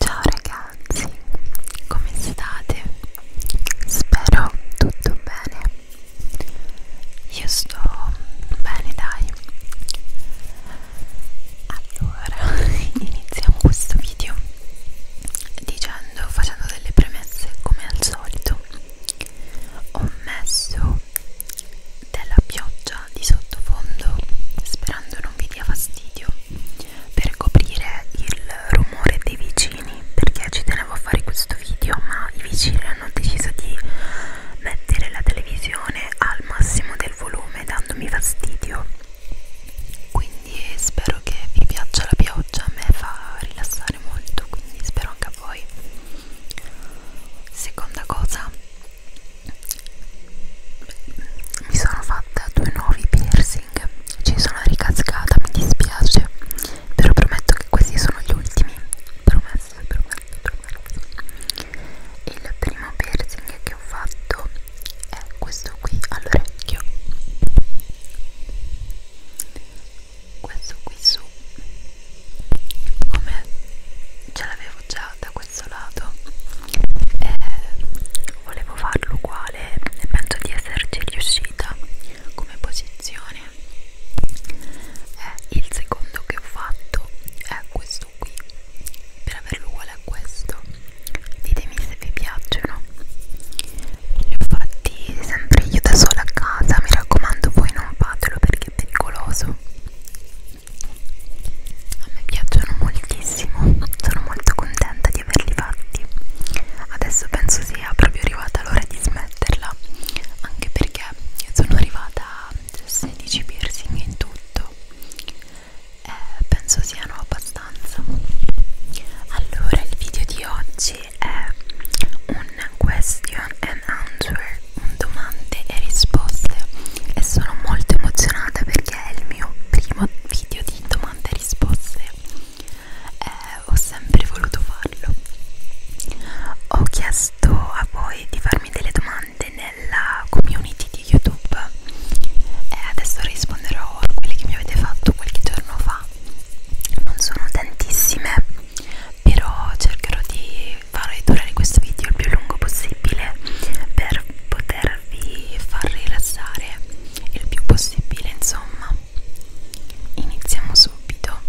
Ciao ragazzi, come state? Spero tutto bene. Io sto bene, dai. Allora, iniziamo questo video dicendo, facendo delle premesse come al solito. Ho messo della pioggia pioggia di sottofondo sperando non vi dia fastidio per coprire il rumore dei vicini perché ci tenevo a fare questo video ma i vicini hanno deciso di mettere la televisione al massimo del volume dandomi fastidio quindi spero che vi piaccia la pioggia a me fa rilassare molto quindi spero anche a voi seconda cosa mi sono fatta due nuovi piercing ci sono ricascata mi dispiace però prometto che questi sono gli ultimi promesso promesso promesso il primo piercing che ho fatto è questo qui all'orecchio questo qui su come ce l'avevo già da questo scazzolato e eh, volevo farlo uguale e penso di esserci riuscita come posizione e eh, il secondo che ho fatto è questo qui per averlo uguale a questo ditemi se vi piacciono li ho fatti sempre io da sola a casa mi raccomando voi non fatelo perché è pericoloso a me piacciono moltissimo sono molto contenta di averli fatti adesso penso sia proprio arrivata l'ora di smetterla anche perché sono arrivata a 16 piercing in tutto e eh, penso siano abbastanza allora il video di oggi è un question and answer un domande e risposte e sono molto emozionata perché perché è il mio primo video di domande e risposte eh, ho sempre voluto farlo ho chiesto a voi di farmi delle domande nella community di youtube e adesso risponderò a quelle che mi avete fatto qualche giorno fa non sono tantissime però cercherò di far durare questo video il più lungo possibile per potervi far rilassare il più possibile insomma iniziamo subito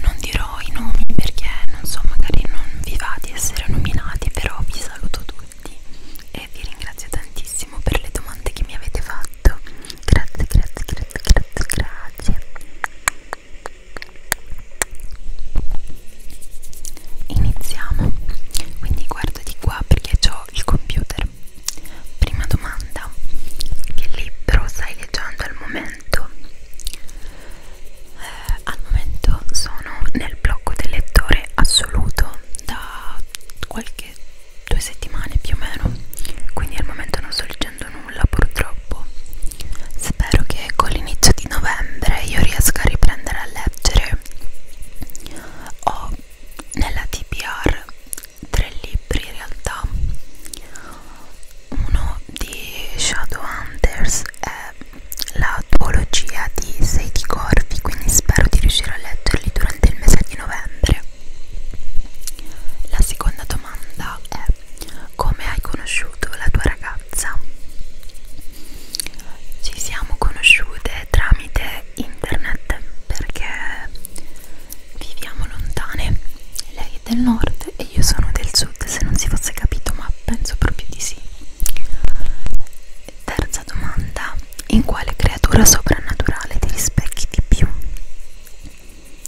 non dirò i nomi perché non so magari non vi va di essere nominati però vi saluto tutti e vi ringrazio tantissimo per le domande che mi avete fatto grazie grazie grazie grazie grazie Iniziamo, quindi guardo di qua perché ho il computer. Prima domanda, che libro stai leggendo al momento? Eh, al momento sono nel blocco del lettore assoluto da qualche due settimane più o meno, quindi al momento non sto leggendo nulla purtroppo. Spero che con l'inizio di novembre io riesca a riprendere a leggere leggere ho nella TBR tre libri in realtà uno di Shadowhunters è la duologia di Sadie Corvi quindi spero di riuscire a leggerli durante il mese di novembre la seconda domanda è come hai conosciuto la tua ragazza? ci siamo conosciute tramite internet perché viviamo lontane lei è del nord e io sono del sud se non si fosse capito ma penso proprio di sì terza domanda in quale creatura soprannaturale ti rispecchi di più?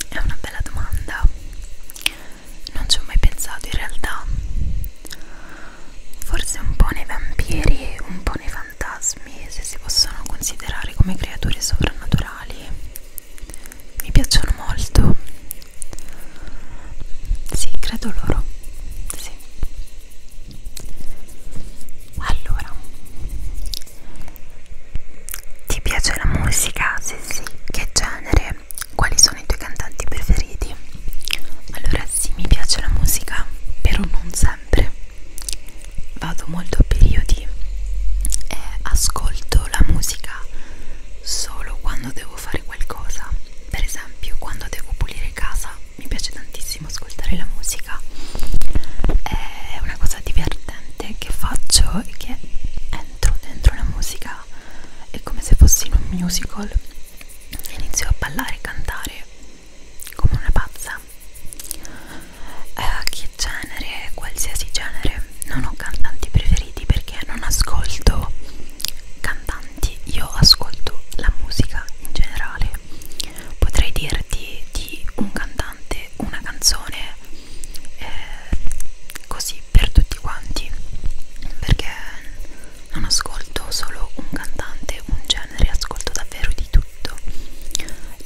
è una bella domanda non ci ho mai pensato in realtà forse un po' nei vampiri e un po' nei fantasmi se si possono considerare come creature sovrannaturali mi piacciono molto sì credo loro sì allora ti piace la musica? se sì, sì che genere? Quali sono i tuoi cantanti preferiti? Allora sì, mi piace la musica, però non sempre. Vado molto a periodi e ascolto la musica solo quando devo fare qualcosa. Per esempio, quando devo pulire casa, mi piace tantissimo ascoltare la musica. È una cosa divertente che faccio e che entro dentro la musica. È come se fossi in un musical iniziò a ballare e cantare come una pazza eh, che genere, qualsiasi genere non ho cantanti preferiti perché non ascolto cantanti io ascolto la musica in generale potrei dirti di un cantante una canzone eh, così per tutti quanti perché non ascolto solo un cantante, un genere, ascolto davvero di tutto.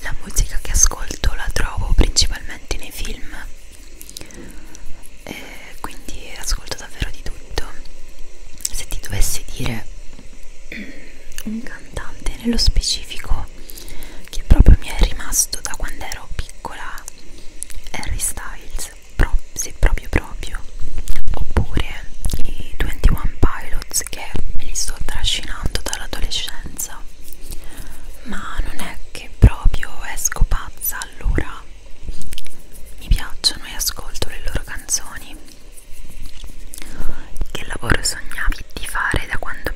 La musica che ascolto la trovo principalmente nei film e quindi ascolto davvero di tutto. Se ti dovessi dire un cantante nello specifico che proprio mi è rimasto da quando ero piccola Harry Styles pro, se proprio proprio oppure i 21 Pilots che me li sto trascinando dall'adolescenza ma non è che proprio esco pazza allora mi piacciono e ascolto le loro canzoni che lavoro sognavi di fare da quando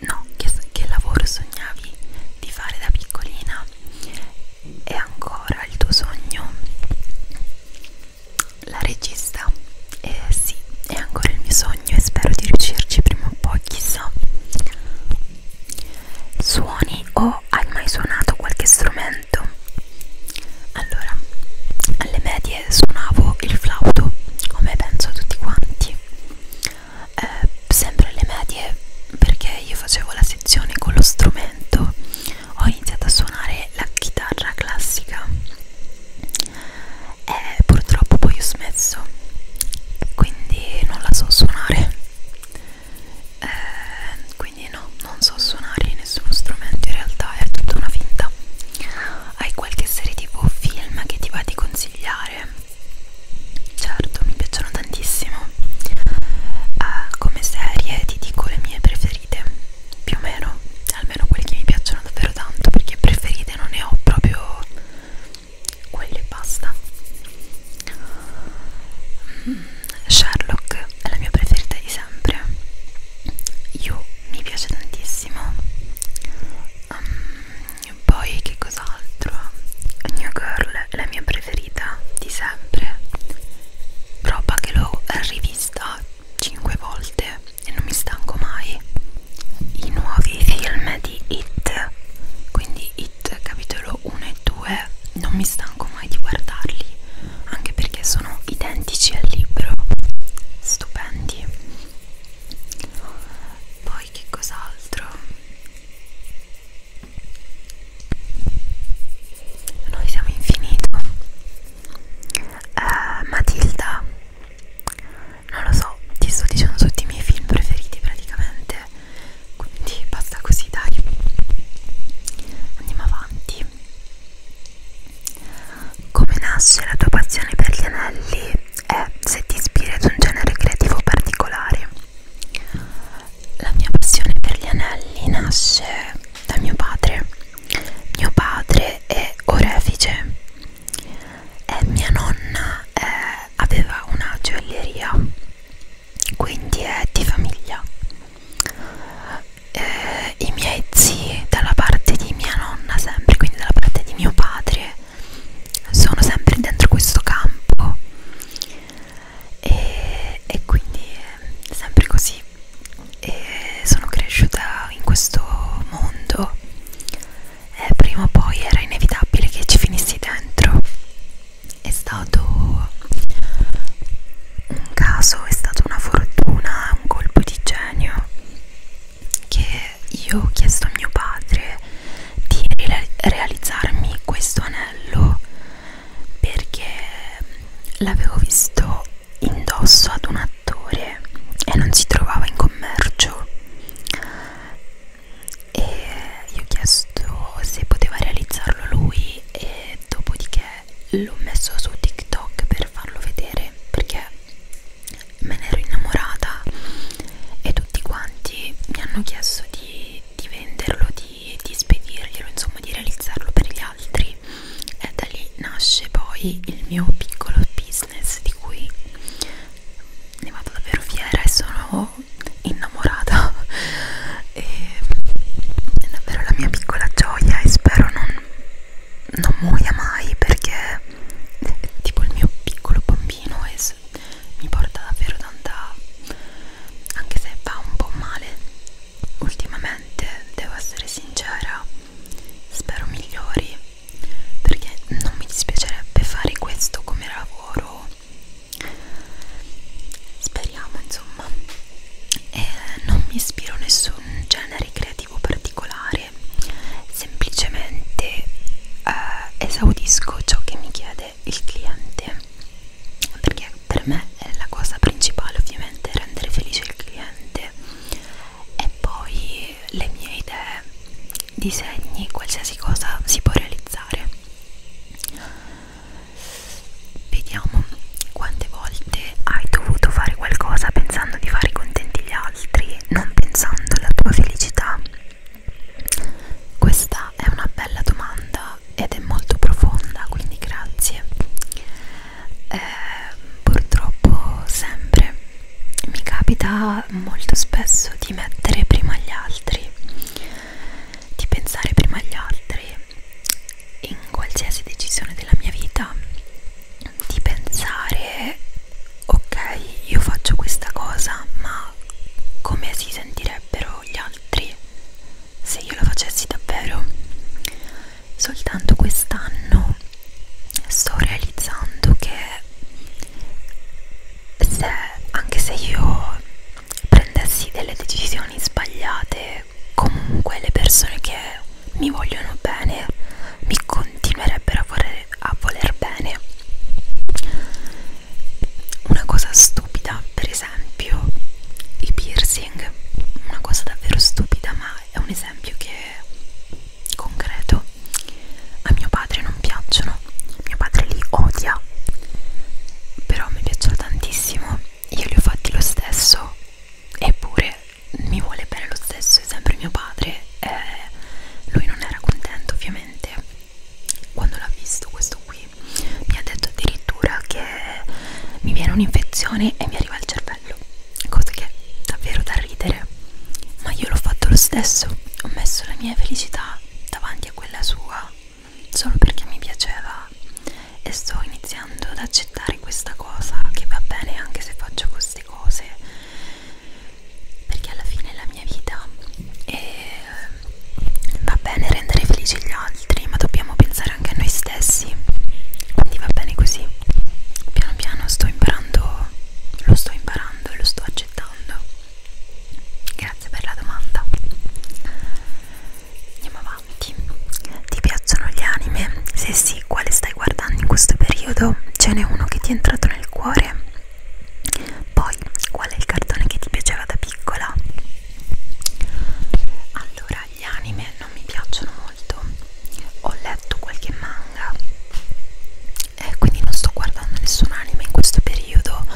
no, che, che lavoro sognavi di fare da piccolina e ancora il tuo sogno? La regista? Eh sì, è ancora il mio sogno e spero di riuscirci prima o poi, chissà. Suoni o hai mai suonato qualche strumento? Allora, alle medie suonavo il flauto, come penso a tutti quanti. Eh, sempre alle medie perché io facevo la posizione con lo strumento ho iniziato a suonare la chitarra classica e purtroppo poi ho smesso quindi non la so suonare eh, quindi no, non so suonare nessuno strumento in realtà è tutta una finta hai qualche serie tv o film che ti va di consigliare? certo, mi piacciono tantissimo uh, come serie ti dico le mie preferite più o meno almeno quelle che mi piacciono davvero tanto perché preferite non ne ho proprio quelle basta mm, Sherlock è la mia preferita di sempre io mi piace tantissimo um, poi che cos'altro? New Girl è la mia preferita di sempre roba che l'ho rivista 5 volte e non mi stanco mai i nuovi film di It quindi It capitolo 1 e 2 non mi stanco mai di guardarli anche perché sono identici al libro stupendi poi che cos'altro noi siamo infinito. Uh, eh, Matilda, non lo so, ti sto dicendo tutti i miei film preferiti praticamente. Quindi basta così, dai. Andiamo avanti. Come nasce la tua passione per gli anelli? È eh, se ti ispiri ad un genere creativo particolare. La mia passione per gli anelli nasce da mio padre. Mio padre è orefice e mia nonna eh, aveva una gioielleria, quindi è di famiglia. Eh, I miei zii dalla parte di mia nonna sempre, quindi dalla parte di mio padre, sono sempre dentro questo campo e, e quindi eh, sempre così e sono cresciuta in questo mondo e prima o poi era inevitabile che ci finissi dentro è stato un caso, è stata una fortuna, un colpo di genio che io ho chiesto a mio padre di realizzarmi questo anello perché l'avevo visto indosso ad un attore e non si trovava in commercio e gli ho chiesto se poteva realizzarlo lui e dopodiché l'ho messo su TikTok per farlo vedere perché me ne ero innamorata e tutti quanti mi hanno chiesto di, di venderlo, di di, di spedirglielo, insomma di realizzarlo per gli altri e da lì nasce poi il mio piccolo business di cui ne vado davvero fiera e sono innamorata e è davvero la mia piccola gioia e spero non, non muoia mai perché è tipo il mio piccolo bambino e mi porta davvero tanta anche se fa un po' male ultimamente devo essere sincera spero migliori perché non mi dispiacerebbe fare questo come lavoro speriamo insomma e non mi ispiro a nessun genere creativo particolare semplicemente eh, esaudisco ciò che mi chiede anche il cliente perché per me la cosa principale ovviamente è rendere felice il cliente e poi le mie idee disegni qualsiasi cosa si può realizzare vediamo quante volte hai dovuto fare qualcosa pensando di fare contenti gli altri non pensando alla tua felicità questa è una bella domanda ed è molto profonda, quindi grazie. Eh, purtroppo sempre mi capita molto spesso di mettere prima gli altri, di pensare prima agli altri in qualsiasi decisione della mia vita, di pensare ok, io faccio questa cosa, ma come si sentirebbero gli altri se io lo facessi davvero soltanto quest'anno sto realizzando che se, anche se io prendessi delle decisioni sbagliate comunque le persone che mi vogliono bene mi continuerebbero a voler, a voler bene una cosa stupida per esempio i piercing, una cosa davvero stupida, ma è un esempio che è concreto. A mio padre non piacciono, mio padre li odia, però mi piacciono tantissimo, io li ho fatti lo stesso, eppure mi vuole bene lo stesso, è sempre mio padre. Eh, lui non era contento ovviamente quando l'ha visto questo qui mi ha detto addirittura che mi viene un'infezione e mi arriva al cervello cosa che è davvero da ridere ma io l'ho fatto lo stesso ho messo la mia felicità davanti a quella sua solo perché mi piaceva e sto iniziando ad accettare questa cosa che va bene anche se faccio queste cose perché alla fine è la mia vita e Ehm, va bene rendere felici gli altri, ma dobbiamo pensare anche a noi stessi. Quindi va bene così. Piano piano sto imparando, lo sto imparando e lo sto accettando. Grazie per la domanda. Andiamo avanti. Ti piacciono gli anime? Se sì, quale stai guardando in questo periodo? Ce n'è uno che ti è entrato nel cuore? Poi, qual è il cartone che ti piaceva da piccola? Allora, gli anime non mi piacciono molto. Ho letto qualche manga eh, quindi non sto guardando nessun anime in questo periodo.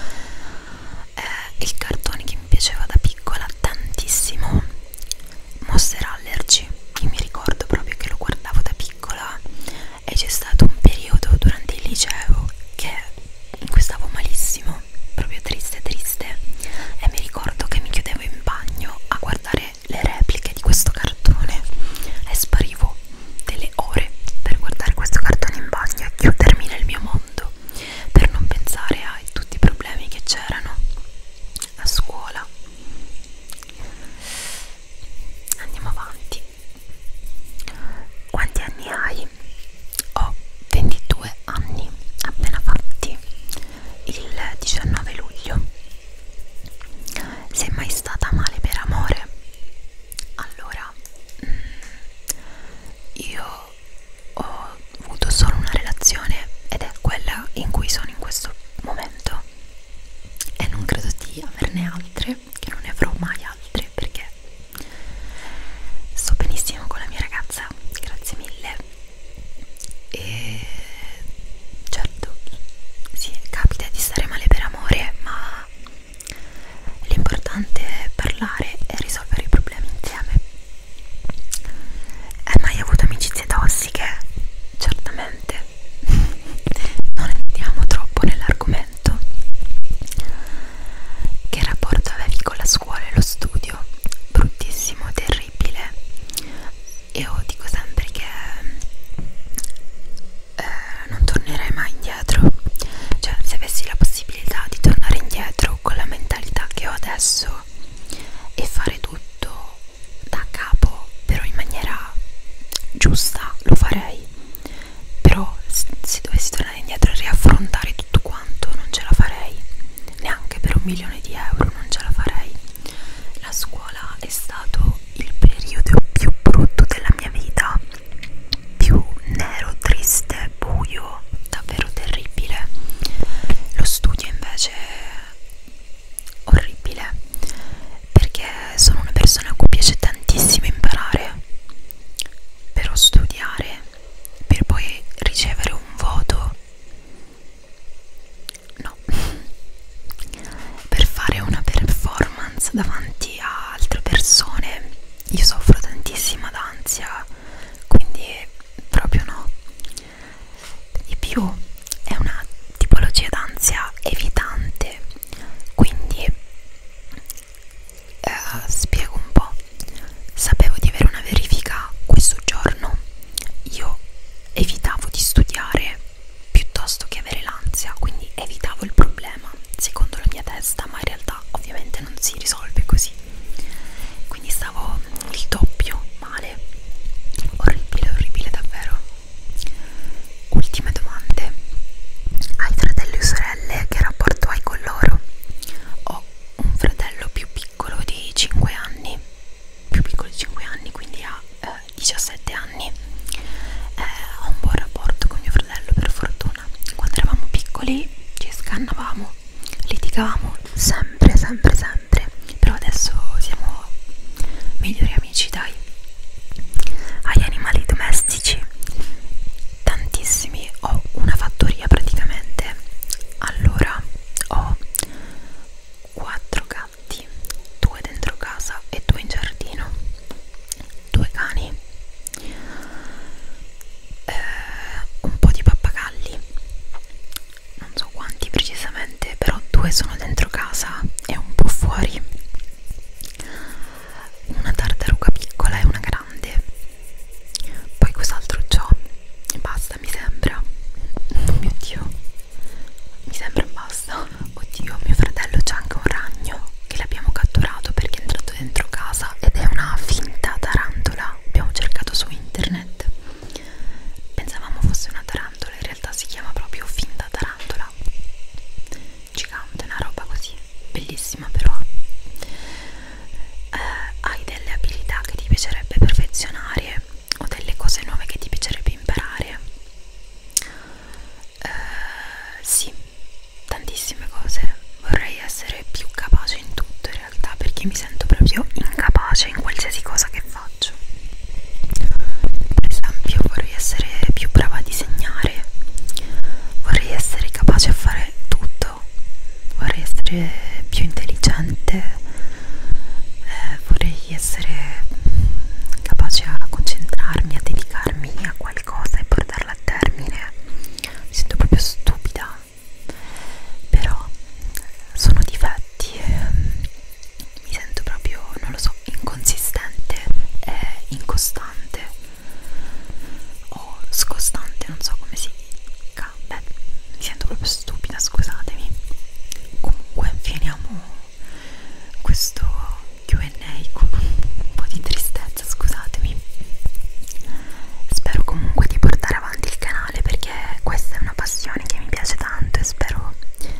Eh, il cartone che mi piaceva da piccola tantissimo, Monster Allergy. Io mi ricordo proprio che lo guardavo da piccola e c'è stato un periodo durante il liceo che in cui stavo malissimo, proprio triste triste e mi ricordo che mi chiudevo in bagno a guardare le repliche di questo cartone e sparivo delle ore per guardare questo cartone in bagno e chiudermi nel mio mondo per non pensare ai tutti i problemi che c'erano a scuola andiamo avanti quanti anni hai? Ho 22 anni appena fatti il 19 luglio. Sei mai stata male per amore? Allora, mm, io ho avuto solo una relazione ed è quella in cui sono in questo momento e non credo di averne altre che non ne avrò mai altri perché sto benissimo con la mia ragazza, grazie mille e certo sì, capita di stare male per amore ma l'importante è parlare e risolvere i problemi insieme hai mai avuto amicizie tossiche? certamente non andiamo troppo nell'argomento talento. Che rapporto avevi con la scuola e lo studio? Bruttissimo, terribile. Io dico sempre che eh, non tornerai mai indietro. Cioè, se avessi la possibilità di tornare indietro con la mentalità che ho adesso e fare tutto da capo, però in maniera giusta, lo farei però se dovessi tornare indietro e riaffrontare tutto quanto non ce la farei neanche per un milione di euro non ce la farei la scuola è stato il periodo più brutto della mia vita più nero, triste, buio davvero terribile lo studio invece orribile perché sono una persona a cui piace tantissimo imparare però studiare per poi ricevere un voto no per fare una performance davanti a altre persone io soffro tantissima d'ansia quindi proprio no di più è una tipologia d'ansia evitante quindi eh, spiego un po', sapevo di avere una verifica questo giorno, io evitavo di studiare piuttosto che avere l'ansia, quindi evitavo il problema secondo la mia testa, ma in realtà ovviamente non si risolve così, quindi stavo il doppio male, orribile, orribile davvero. Ultime domande, hai fratelli o sorelle? sorelle, che rapporto hai con loro? Ho un fratello più piccolo di 5 anni, più piccolo di 5 anni, quindi ha eh, 17 anni. Eh, ho un buon rapporto con mio fratello, per fortuna. Quando eravamo piccoli ci scannavamo, litigavamo sempre, sempre, sempre. Però adesso siamo migliori amici, dai. Agli animali domestici pizzici tantissimi ho una fattoria praticamente allora ho quattro gatti due dentro casa e due in giardino due cani eh, un po' di pappagalli non so quanti precisamente però due sono dentro casa e un po' fuori una tartaruga piccola e una grande poi cos'altro c'ho? e basta mi sembra oh mio dio mi sembra basta oddio mio fratello c'è anche un ragno che l'abbiamo catturato perché è entrato dentro casa ed è una finta tarantola abbiamo cercato su internet pensavamo fosse una tarantola in realtà si chiama proprio finta tarantola gigante, una roba così bellissima però eh, hai delle abilità che ti piacerebbe perfezionare o delle cose nuove che ti piacerebbe imparare eh, sì tantissime cose vorrei essere più capace in tutto in realtà perché mi sento proprio incapace in qualsiasi cosa che faccio per esempio vorrei essere più brava a disegnare mare vorrei essere capace a fare tutto vorrei essere più intelligente eh, vorrei essere capace a concentrarmi a dedicarmi a qualcosa e portarla a termine mi sento proprio stupida però sono difetti e mm, mi sento proprio non lo so inconsistente e incostante o scostante, non so come si dica. Beh, mi sento proprio stupida, scusatemi. Comunque, finiamo questo QA con un po' di tristezza, scusatemi. Spero comunque di portare avanti il canale perché questa è una passione che mi piace tanto e spero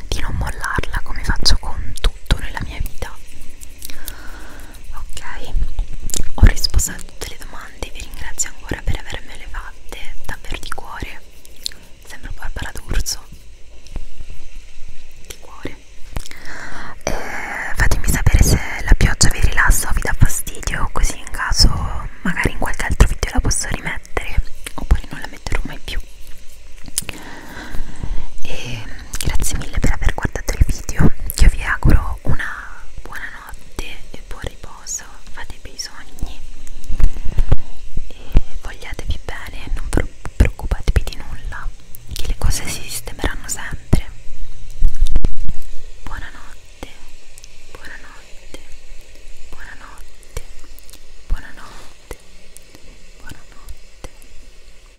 di non mollarla come faccio con tutto nella mia vita ok ho risposto a tutte le domande vi ringrazio ancora per avermele fatte davvero di cuore sembra Barbara D'Urso di cuore e eh, fatemi sapere se la pioggia vi rilassa o vi dà fastidio così in caso magari in qualche altro video la posso rimettere oppure non la metterò mai più e grazie mille per aver guardato il video io vi auguro una buona notte e buon riposo fate i bei sogni e vogliatevi bene non preoccupatevi di nulla che le cose si sistemeranno sempre buonanotte buonanotte buonanotte buonanotte buonanotte